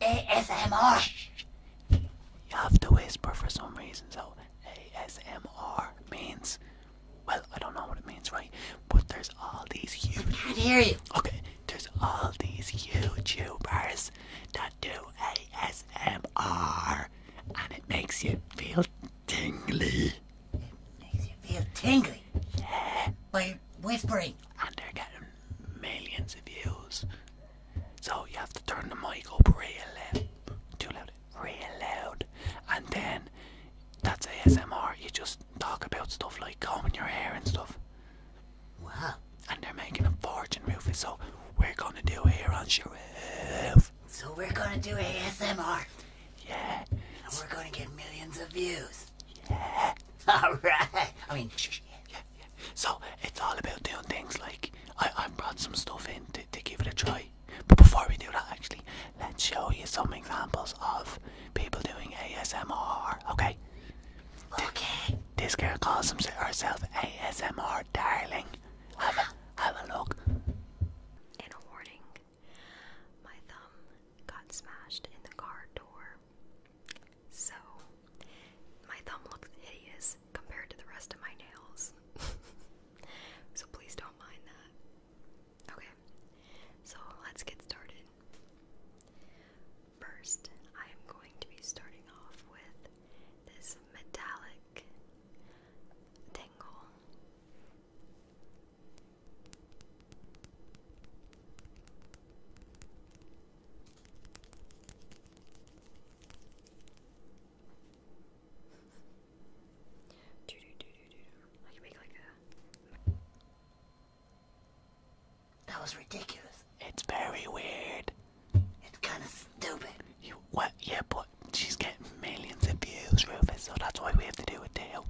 ASMR. You have to whisper for some reason, so ASMR means. Well, I don't know what it means, right? But there's all these huge. I can't hear you. Okay, there's all these YouTubers that do ASMR, and it makes you feel tingly. It makes you feel tingly. Yeah. By whispering. And they're getting millions of views. So you have to turn the mic up real loud, too loud, real loud, and then that's ASMR. You just talk about stuff like combing your hair and stuff. Wow. And they're making a fortune, Rufus. So we're gonna do it here on Sharif. So we're gonna do ASMR. Yeah. we're gonna get millions of views. Yeah. All right. I mean, so it's all about doing things like I, have brought some stuff in to, give it a try. But before we do that, actually, let's show you some examples of people doing ASMR. Okay. Okay. This girl calls herself ASMR darling. Have a have a look. And a warning. My thumb got smashed in the car door. So, my thumb looks hideous compared to the rest of my nails. so, please don't mind that. Okay, so let's get started. First, I am going to be starting off with this metallic tingle. That was ridiculous. It's very weird. It's kind of stupid. You what? Yeah, but she's getting millions of views, Rufus. So that's why we have to do a deal.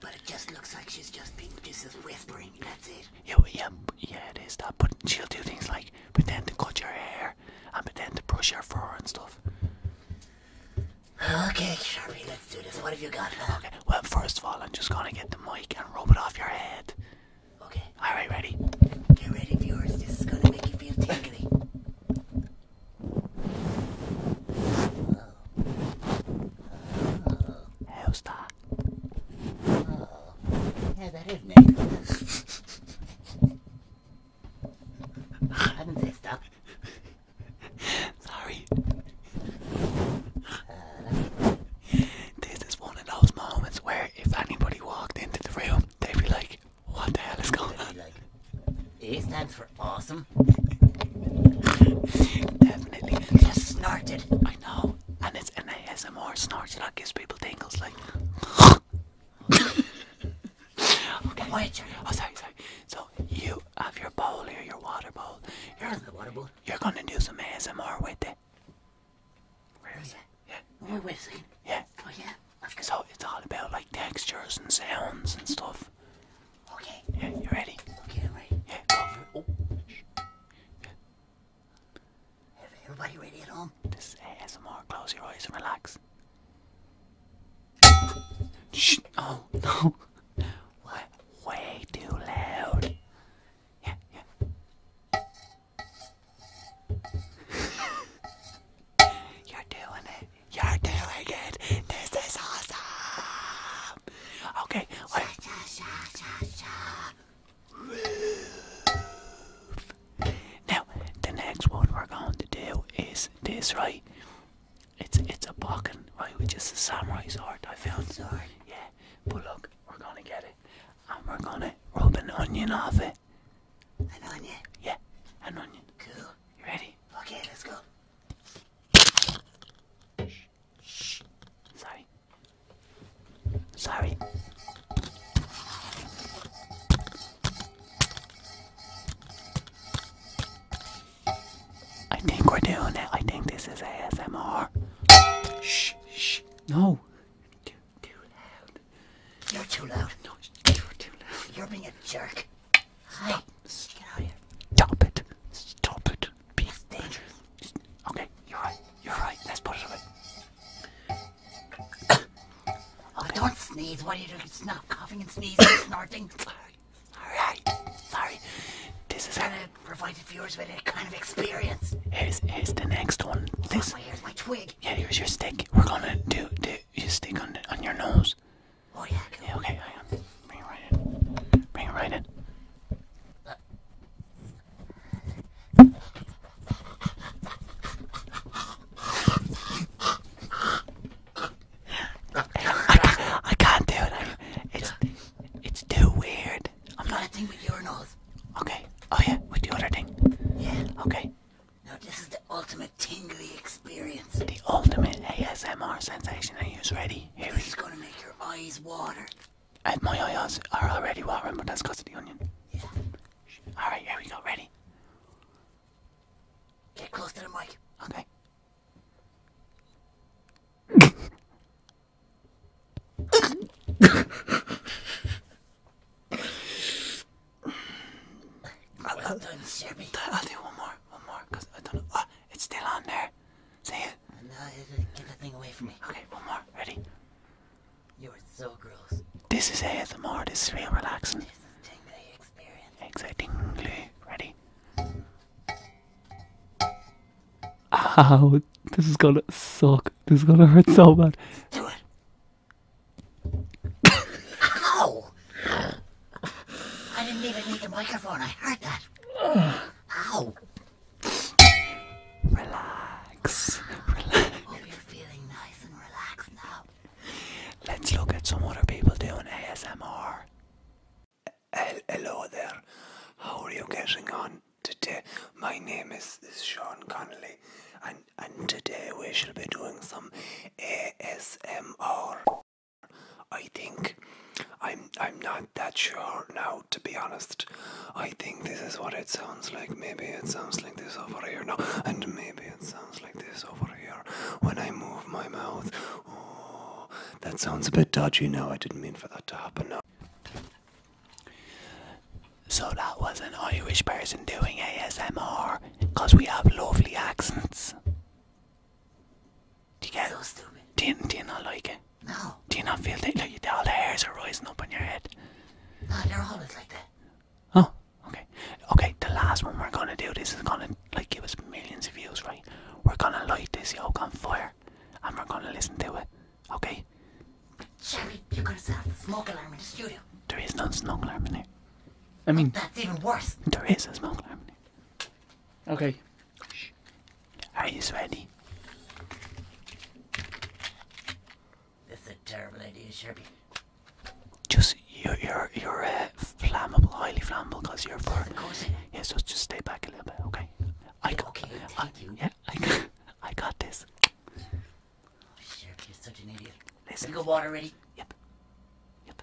But it just looks like she's just been just whispering. That's it yeah, yeah, yeah, it is that. But she'll do things like pretend to cut your hair and pretend to brush your fur and stuff. Okay, Sharpie, let's do this. What have you got Okay, well, first of all, I'm just gonna get the mic and rub it off your head. Okay. Alright, ready? Get ready, viewers. This is gonna make you feel tingly. How's yeah, uh, that is me. I'm pissed off. Sorry. Uh, this is one of those moments where if anybody walked into the room, they'd be like, what the hell is going on? Like, stands for awesome. Definitely. just snorted. I know and it's an ASMR snort that gives people tingles like Okay. Wait. Oh sorry, sorry. So you have your bowl here, your water bowl. You're water bowl. You're gonna do some ASMR with it. Where is it? Yeah. Oh, wait, Yeah. Oh yeah. so it's all about like textures and sounds and stuff. Okay. Yeah, you ready? Okay, ready. Yeah. Everybody ready at home? This is ASMR. Close your eyes and relax. Oh no! Way too loud. Yeah, yeah. You're doing it. You're doing it. This is awesome. Okay. Wait. Now, the next one we're going to do is this, right? It's it's a bokken, right? Which just a samurai sword I found. Sword. Yeah, but look, we're gonna get it, and we're gonna rub an onion off it. An onion. Yeah, an onion. Cool. You ready? Okay, let's go. Shh. Sorry. Sorry. I think we're doing it. I think this is ASMR. shh, shh. No. Too, loud. You're too loud. No, you're too loud. You're being a jerk. Stop. Get out of here. Stop it. Stop it being dangerous. Okay, you're right. You're right. Let's put it away. Oh, Don't sneeze. What are you doing? Snuff, coughing and sneezing, snorting. Sorry. All right. Sorry. This is gonna provide the viewers with a kind of experience. Here's here's the next one. This. Oh, here's my twig. Yeah, here's your stick. We're gonna do do you stick on the, on your nose. Oh yeah. Okay. Bring it right in. Bring it right in. Uh, I can't, I can't do it. it's it's too weird. I'm not. a thing with urinals. Okay. Oh yeah, with the other thing. Yeah. Okay. No, this is the ultimate tingly experience. The ultimate ASMR sensation. Are you ready? Here this is gonna make your eyes water my eyes are already watering, but that's because of the onion. Yeah. Alright, here we go. Ready? Get close to the mic. Okay. I'll, do one more, one more, I don't know. Oh, it's still on there. See it? Get that thing away from me. Okay, one more. Ready? You are so gross. This is ASMR. This is real relaxing. This is tingly experience. Exactly. Ready? Ow. This is gonna suck. This is gonna hurt so bad. Do it. Ow! I didn't even need the microphone. I heard that. Ow! Relax. Relax. Let's look at some other people doing ASMR. Hello there. How are you getting on today? My name is, is Sean Connolly, and, and today we shall be doing some ASMR. I think I'm I'm not that sure now to be honest. I think this is what it sounds like. Maybe it sounds like this over here now and maybe it sounds like this over here when I move my mouth. Oh, that sounds a bit dodgy now. I didn't mean for that to happen now. So that was an Irish person doing ASMR because we have lovely accents. Do you get so stupid. Do you, not like it? No. Do you not feel that like, all the hairs are rising up on your head? No, they're always like that. Oh, okay. Okay, the last one we're gonna do, this is gonna like give us millions of views, right? We're gonna light this yoke on fire and we're gonna listen to it, okay? Sherry, you're gonna set a smoke alarm in the studio. There is no smoke alarm in here. I mean, that's even worse. There is a smoke alarm in here. Okay, are you sweaty? That's a terrible idea, Sherpy. Just you're you're you're uh, flammable, highly flammable, cause you're fur. Yeah, so just stay back a little bit, okay? I got yeah, I got I got this. Oh, Sherpy is such an idiot. Listen, you got water ready? Yep. Yep.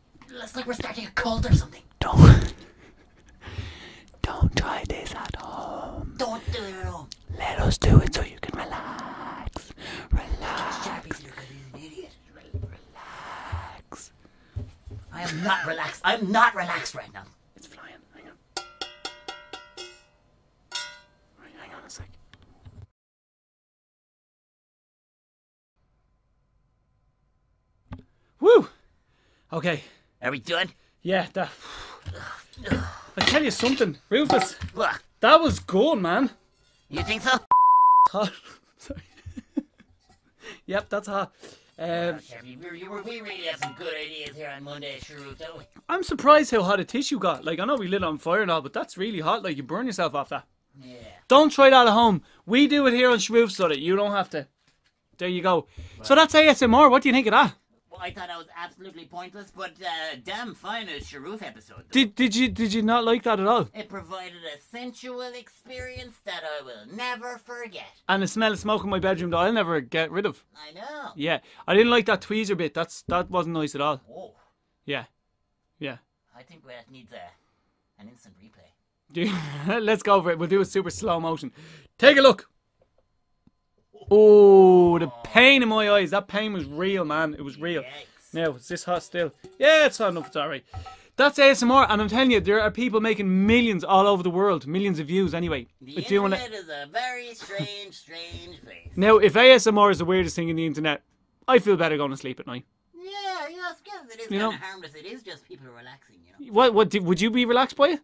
It's like we're starting a cult or something. Don't. Don't try this at home. Don't do it at home. Let us do it so you can relax. Relax. Relax. I am not relaxed. I'm not relaxed right now. It's flying. Hang on. hang on a sec. Woo! Okay. Are we done? Yeah, that. I tell you something, Rufus. What? That was good, man. You think so? Hot. yep, that's um, hot. we, really have some good ideas here on Monday, Shrew, don't we? I'm surprised how hot a tissue got. Like, I know we lit on fire and all, but that's really hot. Like, you burn yourself off that. Don't try that at home. We do it here on Schmoof so you don't have to. There you go. So that's ASMR. What do you think of that? Well, I thought that was absolutely pointless, but uh, damn fine a Sharoof episode. Did did you did you not like that at all? It provided a sensual experience that I will never forget. And the smell of smoke in my bedroom that I'll never get rid of. I know. Yeah, I didn't like that tweezer bit. That's that wasn't nice at all. Oh. Yeah, yeah. I think we need uh, an instant replay. Let's go over it. We'll do a super slow motion. Take a look. Oh, the pain in my eyes. That pain was real, man. It was real. Now, is this hot still? Yeah, it's hot enough. It's alright. That's ASMR, and I'm telling you, there are people making millions all over the world, millions of views anyway. The internet it. is a very strange, strange place. Now, if ASMR is the weirdest thing in the internet, I feel better going to sleep at night. Yeah, you know, I suppose it is You kind of harmless. It is just people relaxing, you know. What? What? do- Would you be relaxed by it?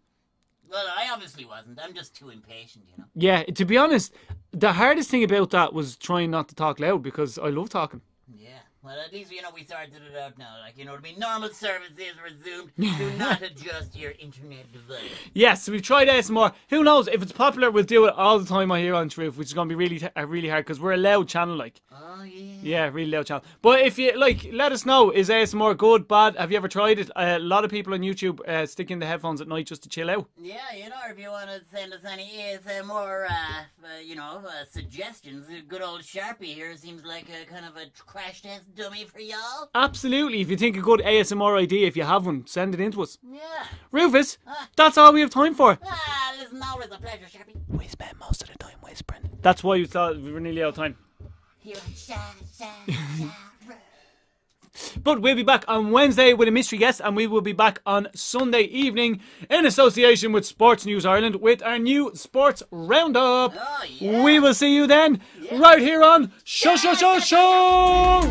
Well, I obviously wasn't. I'm just too impatient, you know. Yeah. To be honest, the hardest thing about that was trying not to talk loud because I love talking. Yeah. Well, at least, you know, we sorted it out now. Like, you know to be Normal services resumed. Do not adjust your internet device. Yes, we've tried ASMR. Who knows if it's popular, we'll do it all the time. I hear on Truth, which is going to be really, really hard because we're a loud channel, like. Oh yeah. Yeah, really loud channel. But if you like, let us know. Is ASMR good, bad? Have you ever tried it? a lot of people on YouTube uh, stick in the headphones at night just to chill out. Yeah, you know, if you want to send us any ASMR, uh, uh, you know, uh, suggestions, good old Sharpie here seems like a kind of a crash test dummy for y'all. Absolutely. If you think a good ASMR idea, if you have one, send it in to us. Yeah. Rufus, that's all we have time for. Ah, listen, always a pleasure, Sharpie. We spend most of the time whispering. That's why you thought we were nearly out of time. But we'll be back on Wednesday with a mystery guest, and we will be back on Sunday evening in association with Sports News Ireland with our new sports roundup. Oh, we will see you then, right here on Show Show Show Show.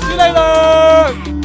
See you later.